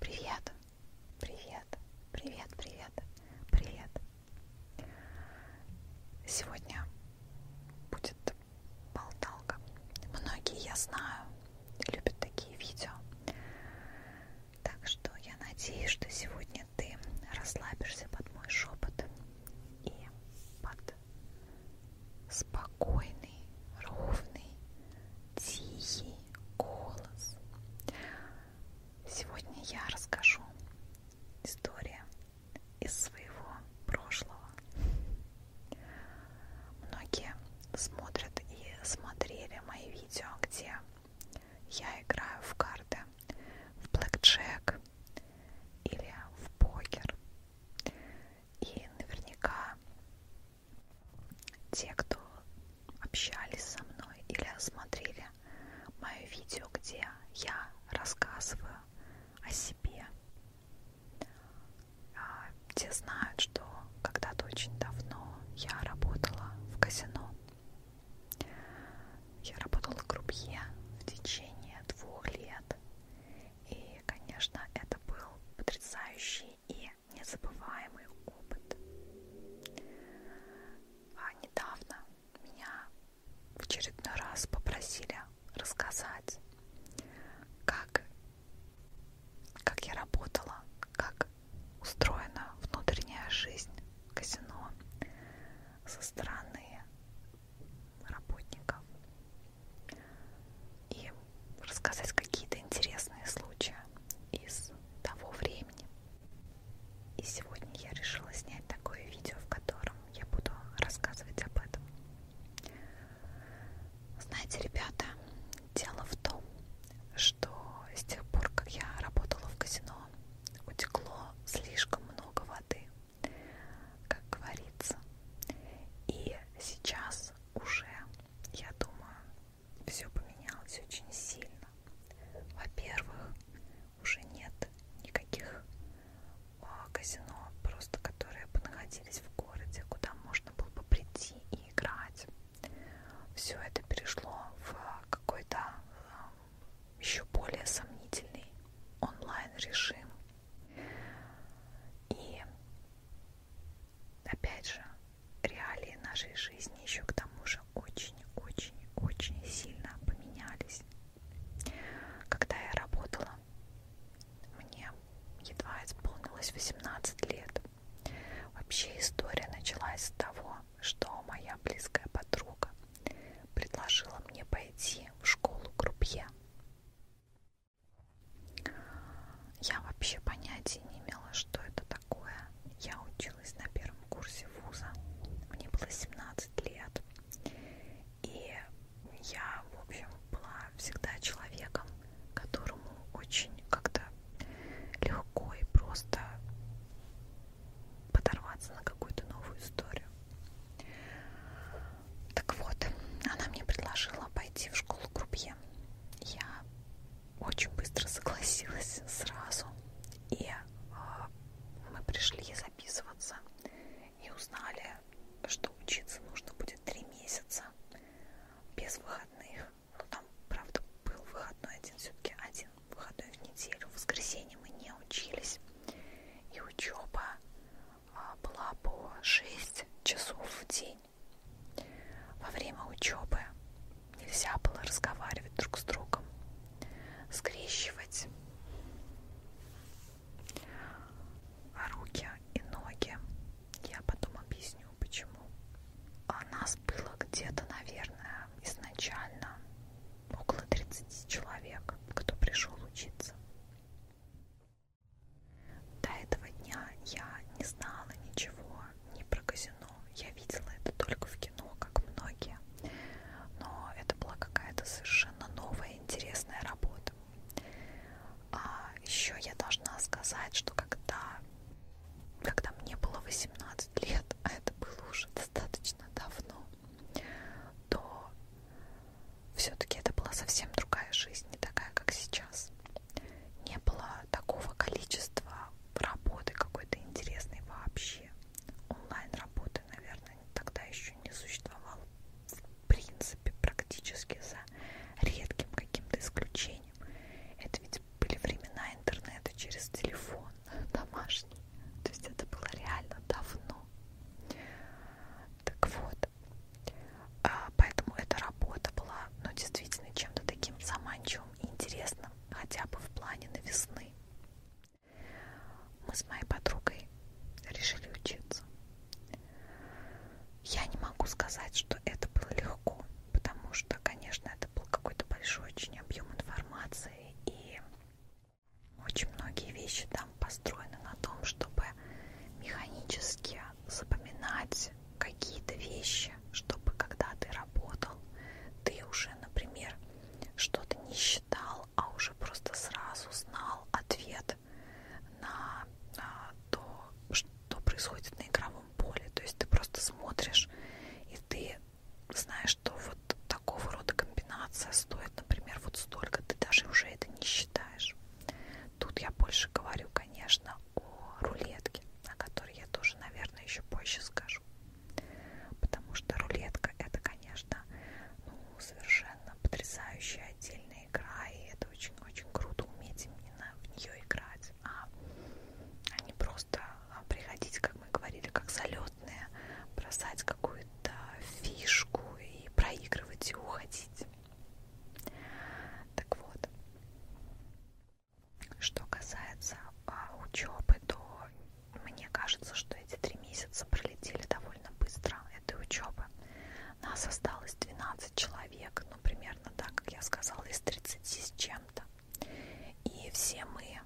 Привет, привет, привет, привет, привет. Сегодня будет болталка. Многие, я знаю, любят такие видео. Так что я надеюсь, что сегодня ты расслабишься под мой шепот и под спокойный спокойный, ровный, тихий голос. Сегодня я расскажу историю из своего прошлого. Многие смотрят и смотрели мои видео, где я играю в карты, в блэкджек или в покер. И наверняка те, кто общались со мной или осмотрели мое видео, где я рассказываю о себе, а, те знают, что когда-то очень давно я работала в казино. Я работала крупье в течение двух лет. И, конечно, это был потрясающий и незабываемый опыт. А недавно меня в очередной раз попросили рассказать, как, как я работала, как устроена внутренняя жизнь казино со стороны работников. И рассказать какие-то интересные случаи из того времени. И сегодня я решила снять такое видео, в котором я буду рассказывать об этом. Знаете, ребята, дело в том, что с тех пор, как я работала в казино, утекло слишком много воды, как говорится. И сейчас уже, я думаю, все поменялось очень сильно. Во-первых, уже нет никаких а, казино, просто которые бы находились в городе, куда можно было бы прийти и играть. Все это перешло в а, какой-то а, еще более сомнительный онлайн-режим. И опять же, реалии нашей жизни еще к тому же очень-очень-очень сильно поменялись. Когда я работала, мне едва исполнилось 18 лет. Вообще история началась с того, что моя близкая подруга предложила мне пойти в школу крупье. Я вообще понятия не имела, что это такое. Я училась на первом курсе вуза. Мне было 17 лет. И я, в общем, была всегда человеком, которому очень как-то легко и просто подорваться на какую-то новую историю. Так вот, она мне предложила пойти в школу крупье. Я очень быстро согласилась сразу. И э, мы пришли записываться и узнали, что учиться нужно будет три месяца без выходных. Ну там, правда, был выходной один, все-таки один выходной в неделю. В воскресенье мы не учились. И учеба э, а, была по 6 часов в день день. Во время учебы нельзя было разговаривать друг с другом, скрещивать руки и ноги. Я потом объясню, почему. А нас было где-то, наверное, изначально около 30 человек, кто пришел учиться. До этого дня я не знала ничего не про казино. Я видела это только в кино, как многие. Но это была какая-то совершенно новая, интересная работа. А еще я должна сказать, что когда, когда мне было 18 лет, а это было уже достаточно давно, то все-таки это была совсем другая жизнь, не такая, как сейчас не было такого количества работы какой-то интересной вообще. Онлайн-работы, наверное, тогда еще не существовало в принципе практически за редким каким-то исключением. Это ведь были времена интернета через телефон домашний. То есть это было реально давно. Так вот, а, поэтому эта работа была но действительно чем-то таким заманчивым и интересным, хотя бы в плане новизны. Мы с моей подругой решили учиться. Я не могу сказать, что это было легко, потому что, конечно, это был какой-то большой очень объем информации, и очень многие вещи там построены на том, чтобы механически запоминать какие-то вещи, чтобы когда ты работал, ты уже, например, что-то не считал, а уже просто сразу знал ответ на а, то, что происходит на игровом поле. То есть ты просто смотришь, и ты знаешь, что вот такого рода комбинация стоит, например, вот столько, ты даже уже это не считаешь. Тут я больше говорю, конечно, о рулетке, о которой я тоже, наверное, еще позже скажу. Потому что рулетка это, конечно, ну, совершенно потрясающая отдельная игра, и это очень-очень круто уметь именно в нее играть, а, а не просто а, приходить, как мы говорили, как залетные, бросать какую-то фишку и проигрывать и уходить. Так вот, что касается а, учебы, то мне кажется, что эти три месяца пролетели довольно быстро этой учебы. Нас осталось 12 человек, ну примерно так, как я сказала, из 30 с чем-то. И все мы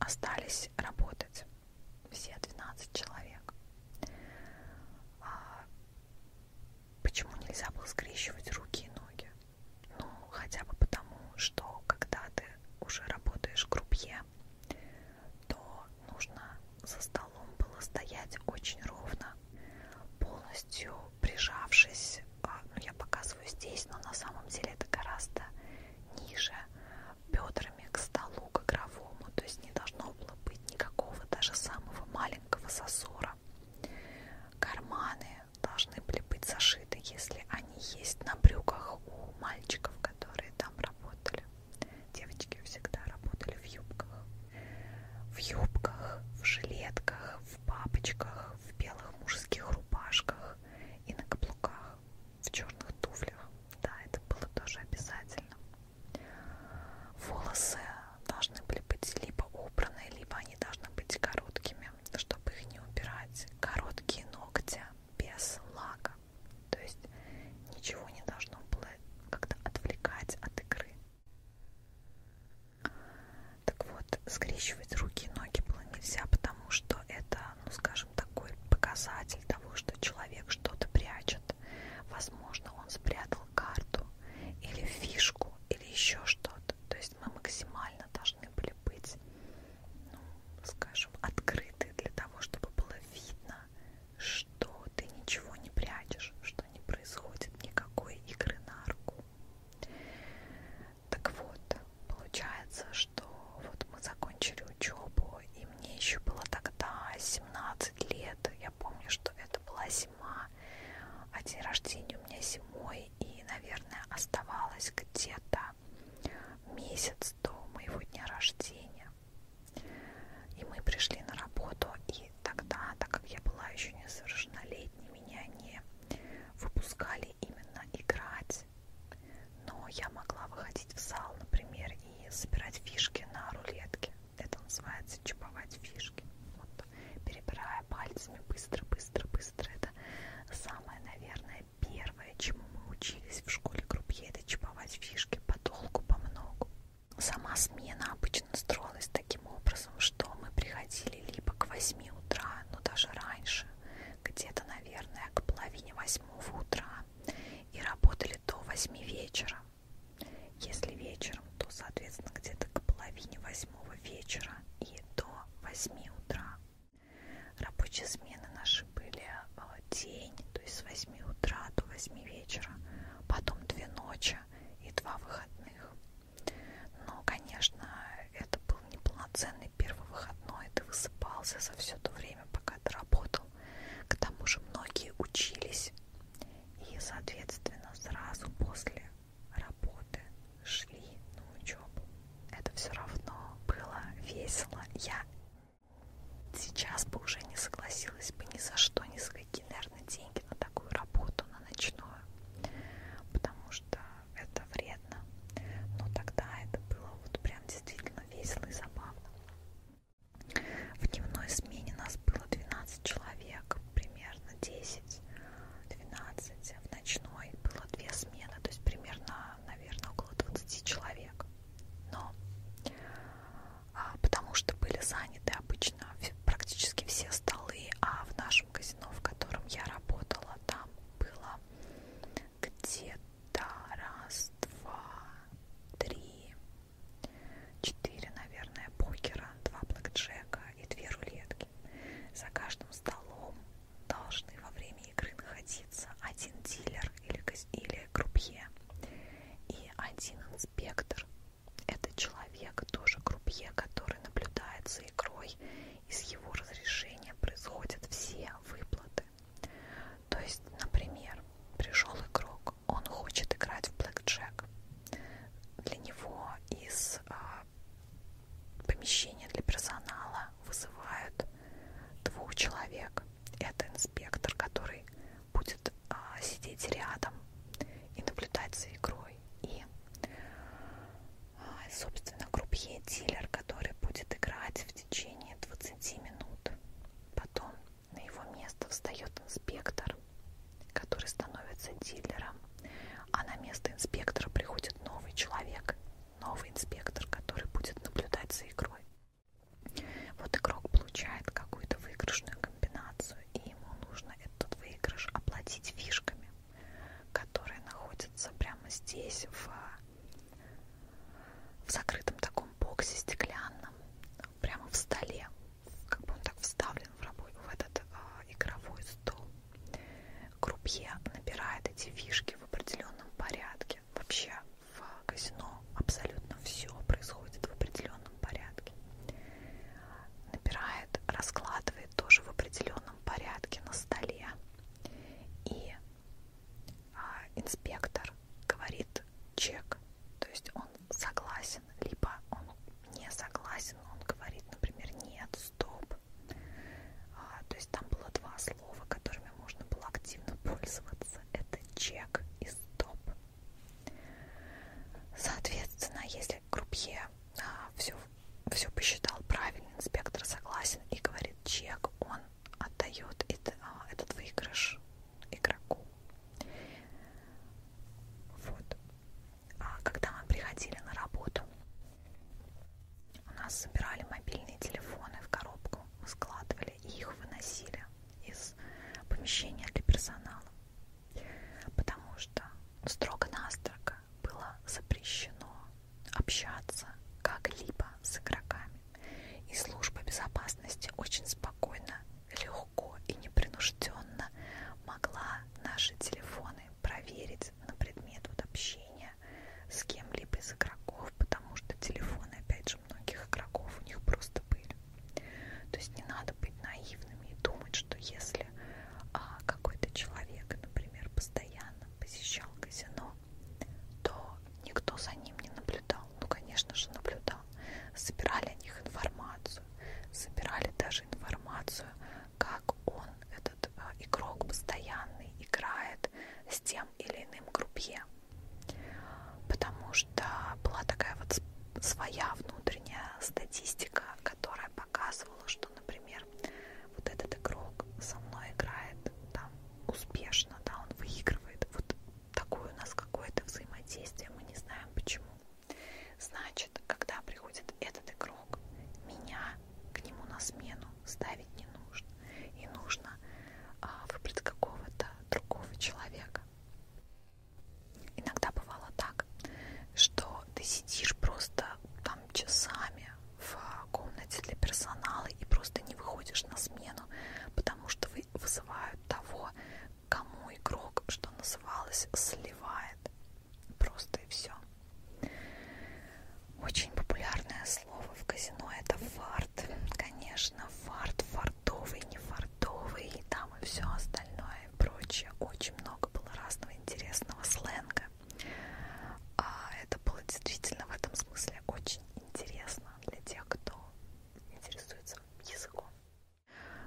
остались работать, все 12 человек. А почему нельзя было скрещивать руки и ноги? Ну, хотя бы потому, что когда ты уже работаешь группе, то нужно за столом было стоять очень ровно, полностью прижавшись. А, ну, я показываю здесь, но на самом деле это гораздо ниже бедрами к столу, к игровому. То есть не должно было быть никакого даже самого маленького сосора. Карманы должны были быть зашиты, если они есть на брюках у мальчиков, которые там работали. Девочки всегда работали в юбках. В юбках, в жилетках, в бабочках, в белых мужских рубашках и на каблуках, в черных туфлях. Да, это было тоже обязательно. Волосы должны были быть либо убраны, либо они должны быть короткими время, чтобы их не убирать, короткие ногти без лака. То есть ничего не должно было как-то отвлекать от игры. Так вот, скрещивать руки и ноги было нельзя, потому что это, ну скажем, такой показатель того, что человек что-то прячет. Возможно, он спрятал карту или фишку, или еще что-то. То есть мы максимально должны должны были быть, ну, скажем, открыты для того, чтобы было видно, что ты ничего не прячешь, что не происходит никакой игры на руку. Так вот, получается, что вот мы закончили учебу, и мне еще было тогда 17 лет. Я помню, что это была зима, а день рождения у меня зимой, и, наверное, оставалась где-то месяц до моего дня рождения. И мы пришли на работу, и тогда, так как я была еще несовершеннолетней, меня не выпускали именно играть. Но я могла выходить в зал, например, и собирать фишки на рулетке. Это называется чуповать фишки. Вот перебирая пальцами быстро, быстро, быстро. Это самое, наверное, первое, чему мы учились в школе Крупье, это чиповать фишки по долгу, по многу. Сама смена обычно строилась таким образом, что мы приходили либо к 8 утра, но даже раньше, где-то, наверное, к половине восьмого утра, и работали до 8 вечера. Если вечером, то, соответственно, где-то к половине восьмого вечера и до 8 утра. Рабочие смены наши были э, день, то есть с 8 утра до 8 вечера, потом две ночи и два выходных. Но, конечно, это был неполноценный первый выходной, ты высыпался за все то время, пока ты работал. К тому же многие учились, и, соответственно, сразу после работы, шли на учебу. Это все равно было весело. Я сейчас бы уже не согласилась бы ни за что, ни за какие, наверное, деньги на такую работу, на ночную, потому что это вредно. Но тогда это было вот прям действительно весело и забавно. В дневной смене нас было 12 человек, примерно 10. 12, в ночной было две смены, то есть примерно, наверное, около 20 человек. Но а, потому что были заняты обычно практически все столы, а в нашем казино, в котором я работала, там было где-то раз, два, три, четыре, наверное, покера, два блэкджека и две рулетки. За каждым столом должны во время игры находиться один дилер или, или крупье и один инспектор. Это человек, тоже крупье, который наблюдает за игрой, и с его разрешения происходят все выплаты. То есть, например, пришел игрок, он хочет играть в блэкджек. Для него из а, помещения для персонала вызывают двух человек. Это инспектор, который будет а, сидеть рядом и наблюдать за игрой. И, а, собственно, крупье-дилер, который будет играть в течение 20 минут. Потом на его место встает инспектор, который становится дилером а на место инспектора приходит новый человек, новый инспектор, который будет наблюдать за игрой. Вот игрок получает какую-то выигрышную комбинацию, и ему нужно этот выигрыш оплатить фишками, которые находятся прямо здесь, в, в закрытом таком боксе стеклянном, прямо в столе, как бы он так вставлен в, рабо в этот а, игровой стол. Крупье набирает эти фишки в определенном порядке. Вообще в казино абсолютно все происходит в определенном порядке. Набирает, раскладывает тоже в определенном порядке на столе. И а, инспектор говорит чек. То есть он согласен, либо он не согласен, он говорит, например, нет, стоп, а, то есть там было два слова, которыми можно было активно пользоваться. Это чек и стоп. Соответственно, если крупье а, все, все посчитал правильно, инспектор согласен и говорит чек, он отдает это, а, этот выигрыш игроку. Вот. А когда мы приходили на работу, у нас собирали мобильные телефоны в коробку, мы складывали и их выносили из помещения для персонала, потому что строго-настрого было запрещено общаться как-либо с игроками. И служба безопасности очень спокойно, легко и непринужденно могла наши телефоны проверить проверять на предмет вот, общения с кем-либо из игроков, потому что телефоны, опять же, многих игроков у них просто были. То есть не надо быть наивными и думать, что если а, какой-то человек, например, постоянно посещал казино, то никто за ним не наблюдал. Ну, конечно же, наблюдал. Собирали о них информацию, собирали даже информацию, как он этот э, игрок постоянный играет с тем или иным группе. Потому что была такая вот своя внутренняя статистика, которая показывала, что, например, вот этот игрок со мной играет там успешно, да, он выигрывает. Вот такое у нас какое-то взаимодействие, мы не знаем почему. Значит, когда приходит этот игрок, ног. Меня к нему на смену ставить не нужно. И нужно а, выбрать какого-то другого человека. Иногда бывало так, что ты сидишь просто там часами в комнате для персонала и просто не выходишь на смену, потому что вызывают того, кому игрок, что называлось, сливает. Просто и все. Очень популярное слово в казино это фарт. Конечно, фарт, фартовый, не фартовый, и там и все остальное и прочее. Очень много было разного интересного сленга. А это было действительно в этом смысле очень интересно для тех, кто интересуется языком.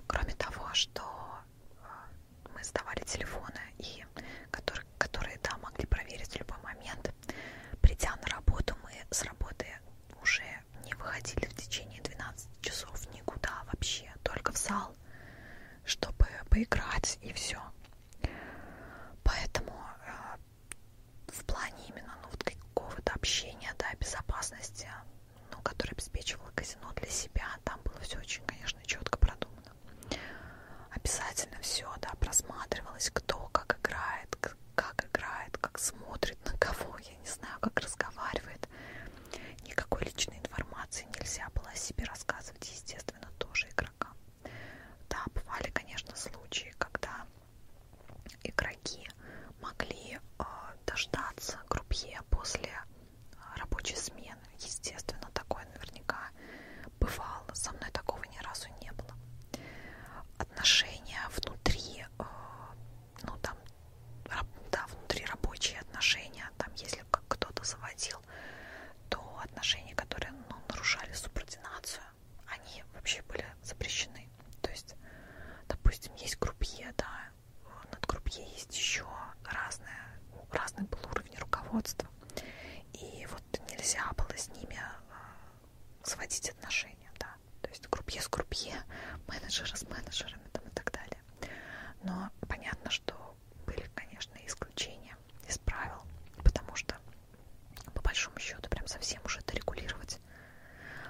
Кроме того, что э, мы сдавали телефоны и которые, которые да, могли проверить в любой момент. Придя на работу, мы с работы уже не выходили в течение 12 часов никуда вообще, только в зал, чтобы поиграть и все. Поэтому э, в плане именно ну, вот какого-то общения, да, безопасности, ну, который обеспечивало казино для себя, там было все очень, конечно, четко продумано нужно. Обязательно все, да, просматривалось, кто как играет, как играет, как смотрит, на кого, я не знаю, как разговаривает. Никакой личной информации нельзя было себе рассказывать, естественно, тоже игрокам. Да, бывали, конечно, случаи, когда игроки могли э, дождаться группье после а, рабочей смены естественно, такое наверняка бывало. Со мной такого ни разу не было. Отношения внутри, э, ну там, да, внутри рабочие отношения, там, если кто-то заводил, то отношения, которые ну, нарушали субординацию, они вообще были запрещены. То есть, допустим, есть группье, да, над группье есть еще разные, разный был уровень руководства. И вот вот нельзя было с ними а, сводить отношения, да, то есть группье с группье, менеджеры с менеджерами там, и так далее. Но понятно, что были, конечно, исключения из правил, потому что по большому счету прям совсем уже это регулировать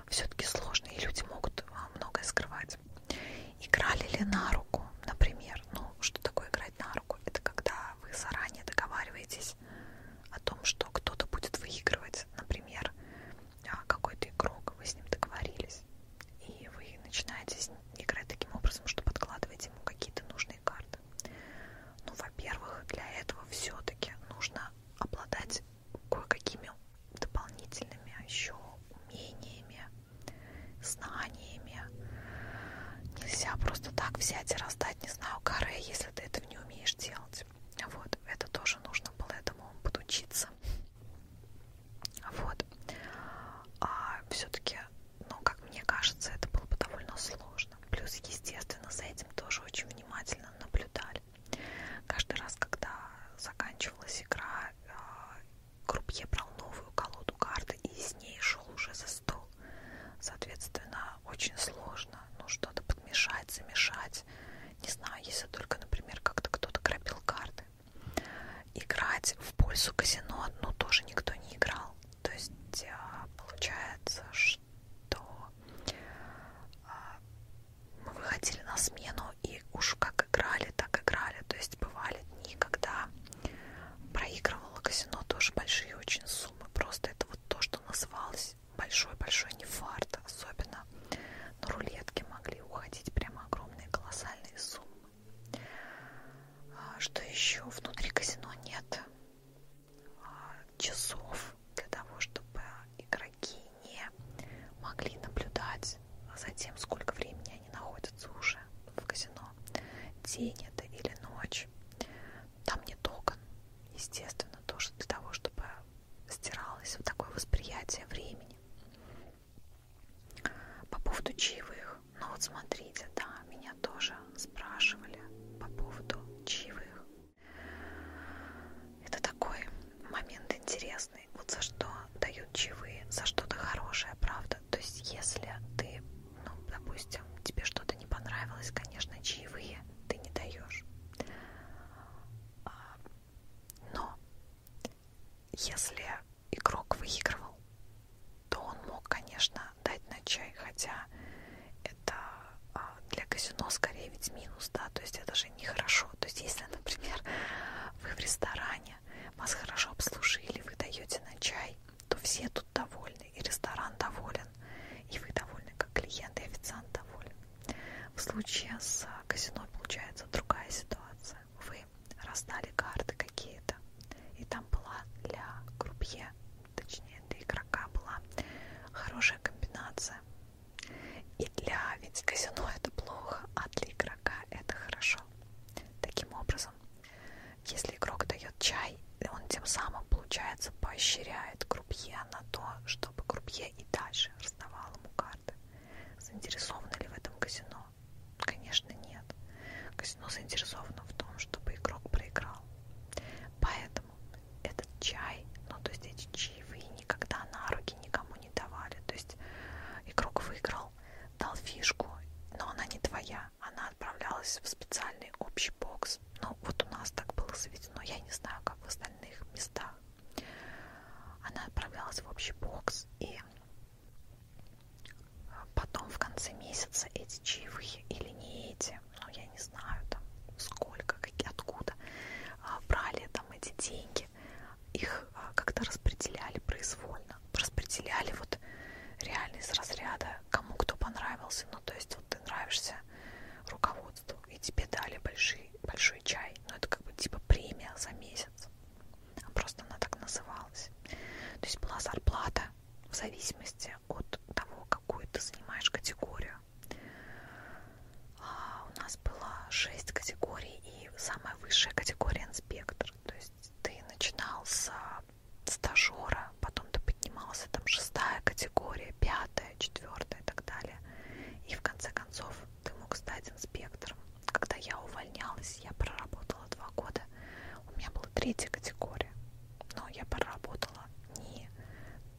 все-таки сложно, и люди могут а, многое скрывать. Играли ли на руку, например? Ну, что такое играть на руку? сделку. Это когда вы заранее договариваетесь о том, что кто-то будет выигрывать, например, а, какой-то игрок, вы с ним договорились, и вы начинаете играть таким образом, что подкладываете ему какие-то нужные карты. Ну, во-первых, для этого все-таки нужно обладать кое-какими дополнительными еще умениями, знаниями, умениями. Нельзя просто так взять и раздать, не знаю, каре, если ты этого не умеешь делать. Вот, это тоже нужно было этому подучиться. Вот. А все-таки, ну, как мне кажется, это было бы довольно сложно. Плюс, естественно, за этим тоже очень внимательно наблюдали. Каждый раз, когда заканчивалась игра, крупье а, брал новую колоду карт кто-то из ней шел уже за стол. Соответственно, очень сложно ну, что-то подмешать, замешать. Не знаю, если только, например, как-то кто-то крапил карты. Играть в пользу казино, ну, тоже никто не играл. То есть а, получается, что а, мы выходили на смену и уж как играли, так играли. То есть бывали дни, когда проигрывала казино тоже большие очень суммы суммы. Просто это вот то, что называлось большой-большой нефарт, особенно на рулетки могли уходить прямо огромные колоссальные суммы. А, что еще? Внутри казино нет а, часов для того, чтобы игроки не могли наблюдать за тем, сколько времени они находятся уже в казино. День это или ночь. Там нет окон, естественно, тоже для того, чтобы стиралось вот такое восприятие времени. По поводу чаевых, ну вот смотрите, да, меня тоже спрашивали по поводу чаевых. Это такой момент интересный, вот за что дают чаевые, за что-то хорошее, правда. То есть если ты ну, допустим, тебе что-то не понравилось, конечно, чаевые ты не даешь. А, но если игрок выигрывал, то он мог, конечно, дать на чай, хотя это а, для казино скорее ведь минус, да, то есть это же нехорошо. То есть если, например, вы в ресторане, вас хорошо обслужили, вы даете на чай, то все тут довольны, и ресторан доволен, и вы довольны, как клиент, и официант доволен. В случае с а, казино получается другая ситуация. Вы раздали карты какие-то, и там была для крупье, точнее для игрока была хорошая комбинация. И для ведь казино это плохо, а для игрока это хорошо. Таким образом, если игрок дает чай, он тем самым, получается, поощряет крупье на то, чтобы крупье и дальше раздавал ему карты. Заинтересованы ли в этом казино? Конечно, нет. Казино заинтересовано в том, чтобы игрок проиграл. Поэтому этот чай, ну то есть эти чаевые никогда на руки никому не давали. То есть игрок выиграл, дал фишку, но она не твоя она отправлялась в специальный общий бокс. Ну, вот у нас так было заведено, я не знаю, как в остальных местах. Она отправлялась в общий бокс, и э, потом в конце месяца эти чаевые или не эти, ну, я не знаю, там, сколько, какие, откуда, а, брали там эти деньги, их а, как-то распределяли произвольно, распределяли вот реально из разряда, кому кто понравился, ну, то есть вот ты нравишься руководству, и тебе дали большой, большой чай, но ну, это как бы типа премия за месяц, а просто она так называлась. То есть была зарплата в зависимости от того, какую ты занимаешь категорию. А у нас было 6 категорий, и самая высшая категория инспектор. То есть ты начинал с стажера, потом ты поднимался, там шестая категория, пятая, четвертая и так далее. И в конце концов ты мог стать инспектором. Когда я увольнялась, я проработала два года. У меня была третья категория, но я проработала не,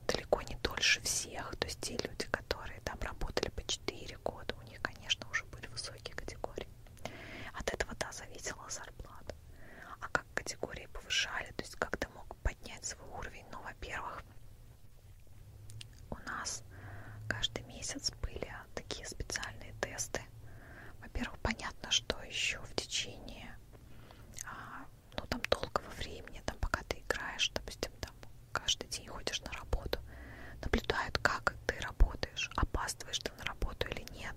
далеко не дольше всех. То есть те люди, которые там работали по 4 года, у них, конечно, уже были высокие категории. От этого, да, зависела зарплата. А как категории повышали, то есть как ты мог поднять свой уровень. Но, ну, во-первых, у нас каждый месяц были такие специальные тесты. Во-первых, понятно, что еще в течение, а, ну там долгого времени, там пока ты играешь, допустим, там каждый день ходишь на работу, наблюдают, как ты работаешь, опаздываешь ты на работу или нет,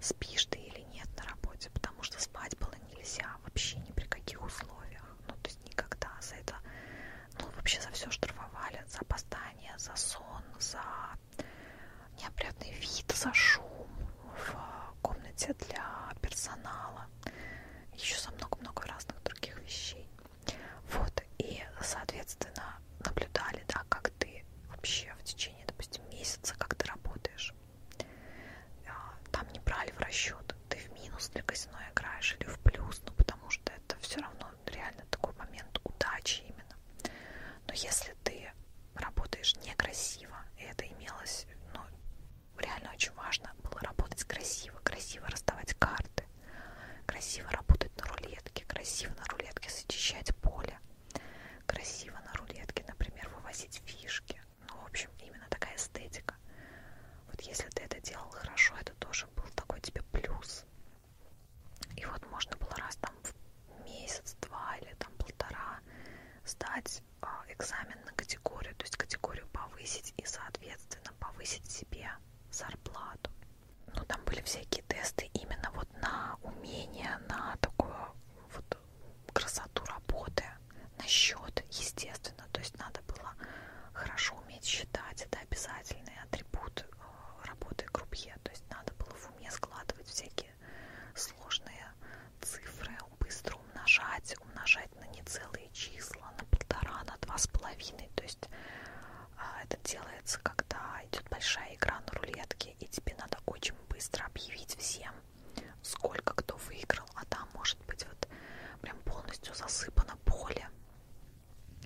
спишь ты или нет на работе, потому что спать было нельзя вообще ни при каких условиях, ну то есть никогда за это, ну вообще за все штрафовали, за опоздание, за сон, за неопрятный вид, за шум в комнате для персонала, еще за много-много разных других вещей. Вот, и, соответственно, наблюдали, да, как ты вообще в течение, допустим, месяца, как ты работаешь. А, там не брали в расчет, ты в минус для казино играешь или в плюс, ну потому что это все равно реально такой момент удачи именно. Но если ты работаешь некрасиво, и это имелось, ну, реально очень важно было работать красиво, красиво расставать карты, красиво работать на рулетке, красиво на рулетке зачищать поле, красиво на рулетке, например, вывозить фишки, ну, в общем, именно такая эстетика. Вот если ты это делал хорошо, это тоже был такой тебе плюс. И вот можно было раз там в месяц, два или там полтора сдать а, экзамен на категорию, то есть категорию повысить и, соответственно, повысить себе зарплату. Ну, там были всякие тесты именно вот на умение, на такую вот красоту работы, на счет, естественно, то есть надо было хорошо уметь считать, это обязательный атрибут э, работы крупье, то есть надо было в уме складывать всякие сложные цифры, быстро умножать, умножать на нецелые числа, на полтора, на два с половиной, то есть э, это делается, когда идет большая игра на рулетке, и тебе надо очень быстро объявить всем, сколько кто выиграл, а там может быть вот прям полностью засыпано поле.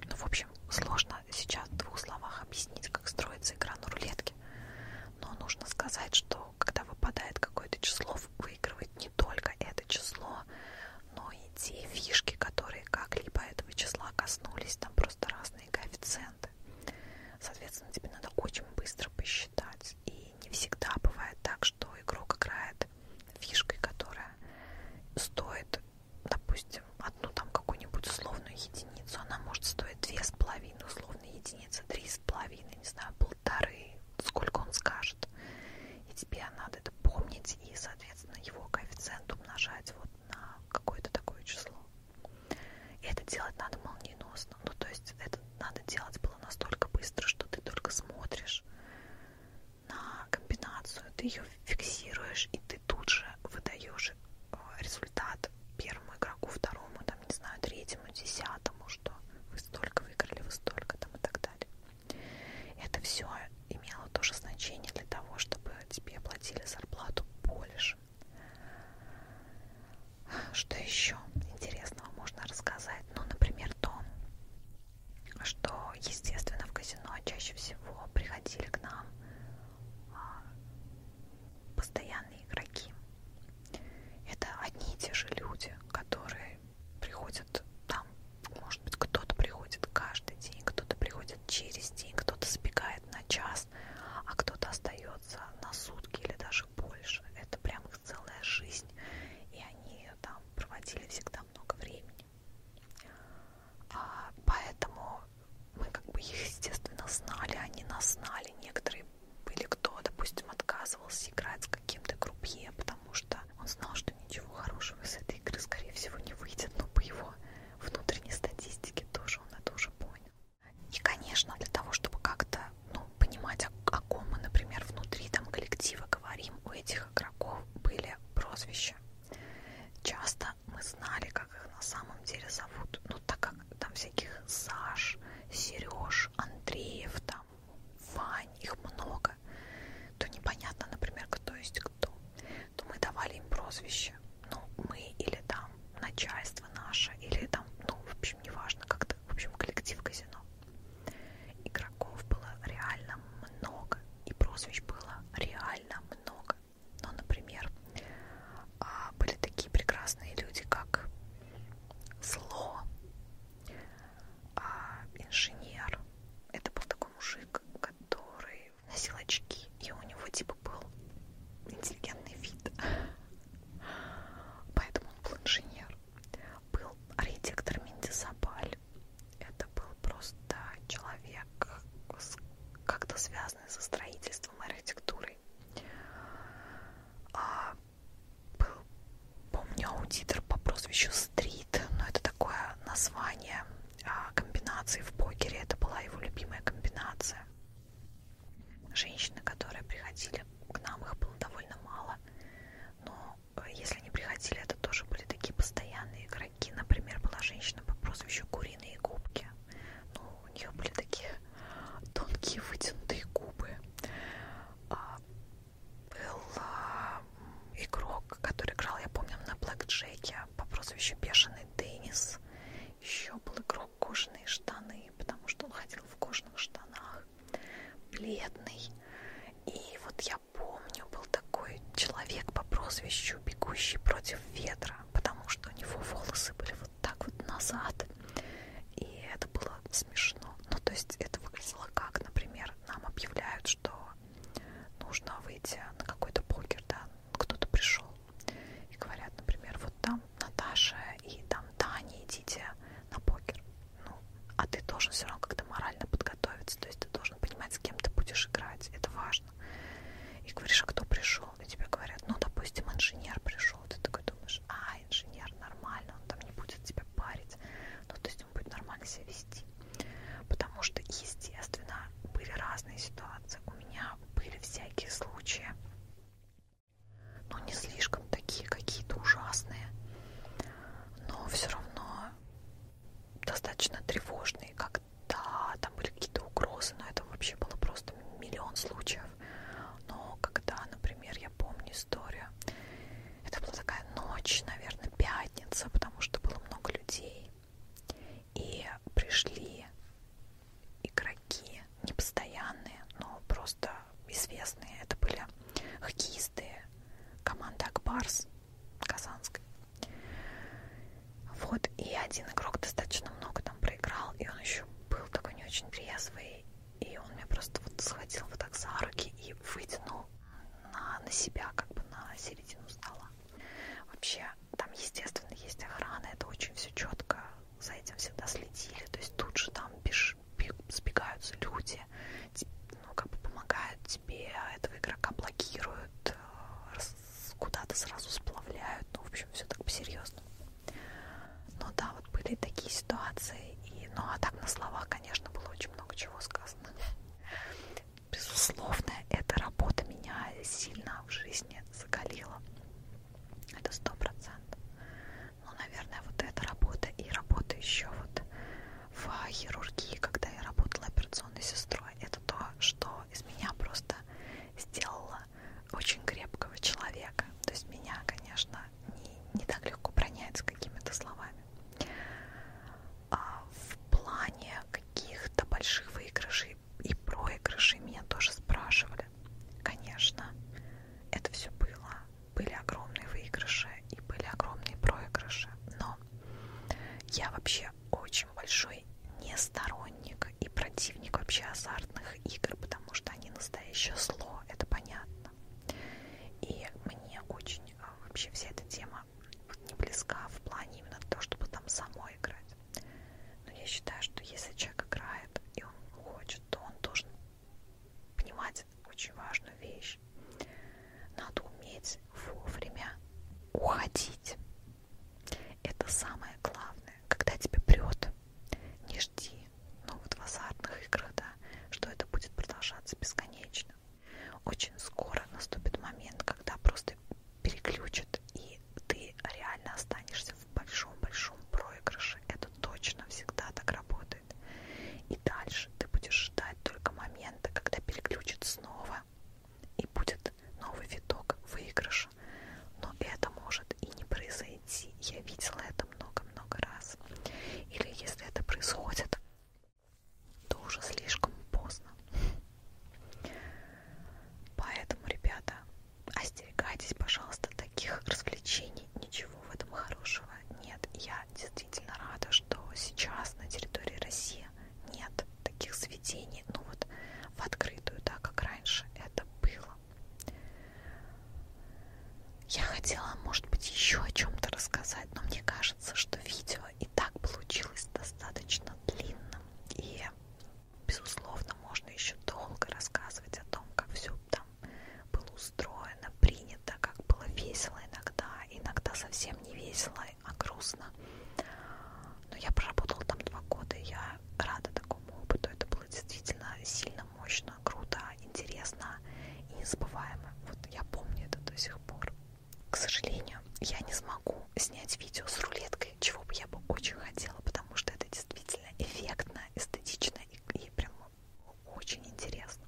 Ну, в общем, сложно сейчас в двух словах объяснить, как строится игра на рулетке. Но нужно сказать, что когда выпадает какое-то число, выигрывает не только это число, но и те фишки, которые как-либо этого числа коснулись, там просто разные коэффициенты. Соответственно, тебе надо очень быстро посчитать раз. И не всегда бывает так, что игрок играет фишкой, которая стоит, допустим, одну там какую-нибудь условную единицу. Она может стоить две с половиной условные единицы, три с половиной, не знаю, полторы, сколько он скажет. И тебе надо это помнить и, соответственно, его коэффициент умножать вот на какое-то такое число. И это делать надо молниеносно. Ну, то есть это надо делать было настолько быстро, что ты только смотришь на комбинацию, ты ее фиксируешь, и ты тут же выдаешь э, результат первому игроку, второму, там, не знаю, третьему, десятому, что вы столько выиграли, вы столько там и так далее. Это все имело тоже значение для того, чтобы тебе платили зарплату больше. Что еще интересного можно рассказать? Ну, например, то, что, естественно, в казино чаще всего приходили к нам а, постоянные игроки. Это одни и те же люди, которые приходят там, может быть, кто-то приходит каждый день, кто-то приходит через день, кто-то сбегает на час, а кто-то остается на сутки или даже больше. Это прям них целая жизнь, и они там проводили всегда много времени. А, поэтому мы как бы их, естественно, знали, они нас знали. Некоторые были, кто, допустим, отказывался играть с каким-то крупье, потому что он знал, что ничего хорошего из этой игры, скорее всего, не выйдет, но по его внутренней статистике тоже он это уже понял. И, конечно, для того, чтобы как-то ну, понимать, о, о ком мы, например, внутри там коллектива говорим, у этих игроков были прозвища. Часто мы знали, как их на самом деле зовут. Ну, так как там всяких Саш, Сереж, Андреев, там, Вань, их много, то непонятно, например, кто есть кто. То мы давали им прозвище. Ну, мы или там начальство наше, или там, ну, в общем, неважно, как-то, в общем, коллектив казино. Игроков было реально много, и прозвищ было реально много. Но, ну, например, а, были такие прекрасные люди, как Зло, а, инженер. Это был такой мужик, который носил очки, и у него типа был интеллигентный вид. Поэтому он был инженер был архитектор Миндисабаль. Это был просто человек, как-то связанный со строительством и архитектурой. А, был, помню, аудитор по прозвищу Стрит, но это такое название а, комбинации в покере. Это была его любимая комбинация. Женщины, которые приходили к нам, их было довольно мало. Но э, если они приходили, это тоже были такие постоянные игроки. Например, была женщина по прозвищу Куриные губки. Ну, у нее были такие тонкие вытянутые губы. А, был а, игрок, который играл, я помню, на Блэк Джеке по прозвищу Бешеный Деннис. Еще был игрок кожаные штаны, потому что он ходил в кожаных штанах бледный. И вот я помню, был такой человек по прозвищу «Бегущий против ветра», потому что у него волосы были вот так вот назад. И это было смешно. Ну, то есть это выглядело как, например, нам объявляют, что нужно выйти на какой-то покер, да, кто-то пришел. И говорят, например, вот там Наташа и там Таня, идите на покер ну, а ты должен все равно как-то морально подготовиться, то есть ты должен понимать, с кем ты будешь играть, это важно. И говоришь, а кто пришел? И тебе говорят, ну, допустим, инженер пришел. Ты такой думаешь, а, инженер, нормально, он там не будет тебя парить. Ну, то есть он будет нормально себя вести. Потому что, естественно, были разные ситуации. У меня были всякие случаи, ну не слишком такие какие-то ужасные, но все равно достаточно тревожные, когда там были какие-то угрозы, но это вообще было просто миллион случаев. Но когда, например, я помню историю, это была такая ночь, наверное, пятница, потому что было много людей, и пришли игроки непостоянные, но просто известные. Это были хоккеисты команды Акбарс Казанской. Вот, и один игрок достаточно много там проиграл, и он еще был такой не очень трезвый, и он меня просто вот схватил вот так за руки и вытянул на, на себя, как бы на середину стола. Вообще, там, естественно, есть охрана, это очень все четко, за этим всегда следили, то есть тут же там без сбегаются люди, ну, как бы помогают тебе, этого игрока блокируют, э, куда-то сразу сплавляют, ну, в общем, все так по-серьезному. Ну да, вот были такие ситуации, и, ну а так на словах, конечно, было очень много чего сказано. Безусловно, эта работа меня сильно в жизни закалила. Это сто процентов. Ну, наверное, вот эта работа и работа еще вот в хирургии, когда я работала операционной сестрой, это то, что из меня просто сделало очень крепкого человека. То есть меня, конечно, не, не так легко пронять с какими-то словами. А в плане каких-то больших выигрышей и проигрышей меня тоже спрашивали. Конечно, это все было были огромные выигрыши и были огромные проигрыши, но я вообще очень большой не сторонник и противник вообще азартных игр, потому что они настоящее зло, это понятно. И мне очень а, вообще вся эта тема не близка в плане именно того, чтобы там самой играть. Но я считаю, что если человек играет и он хочет, то он должен понимать очень важную вещь. Надо уметь вовремя уходить. Это самое главное. Когда тебе прет, не жди. Ну вот в азартных играх, да, что это будет продолжаться бесконечно. Очень скоро наступит момент, когда просто переключат, и ты реально останешься в большом-большом проигрыше. Это это точно всегда так работает. И дальше ты будешь ждать только момента, когда переключит снова и будет новый виток выигрыша. Но это может и не произойти. Я видела это много-много раз. Или если это происходит, то уже слишком поздно. Поэтому, ребята, остерегайтесь, пожалуйста, таких развлечений. Ничего в этом хорошего нет, я действительно рада, что сейчас на территории России нет таких сведений, ну вот в открытую, да, как раньше это было. Я хотела, может быть, еще о чем-то рассказать, но мне кажется, что видео и так получилось достаточно длинным. И, безусловно, можно еще долго рассказывать о том, как все там там было устроено, принято, как было весело иногда, иногда совсем не весело, а грустно. Но я проработала там два года, и я рада такому опыту. Это было действительно сильно, мощно, круто, интересно и незабываемо. Вот я помню это до сих пор. К сожалению, я не смогу снять видео с рулеткой, чего бы я бы очень хотела, потому что это действительно эффектно, эстетично и, и прям очень интересно.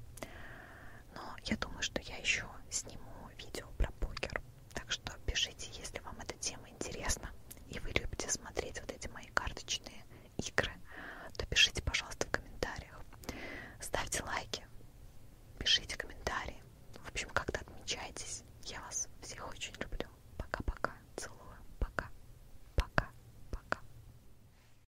Но я думаю, что я еще сниму видео про покер. Так что пишите, если вам эта тема интересна и вы любите смотреть вот эти мои карточные игры, то пишите, пожалуйста, в комментариях. Ставьте лайки, пишите комментарии. В общем, как-то отмечайтесь. Я вас всех очень люблю. Пока-пока. Целую. Пока. Пока. Пока.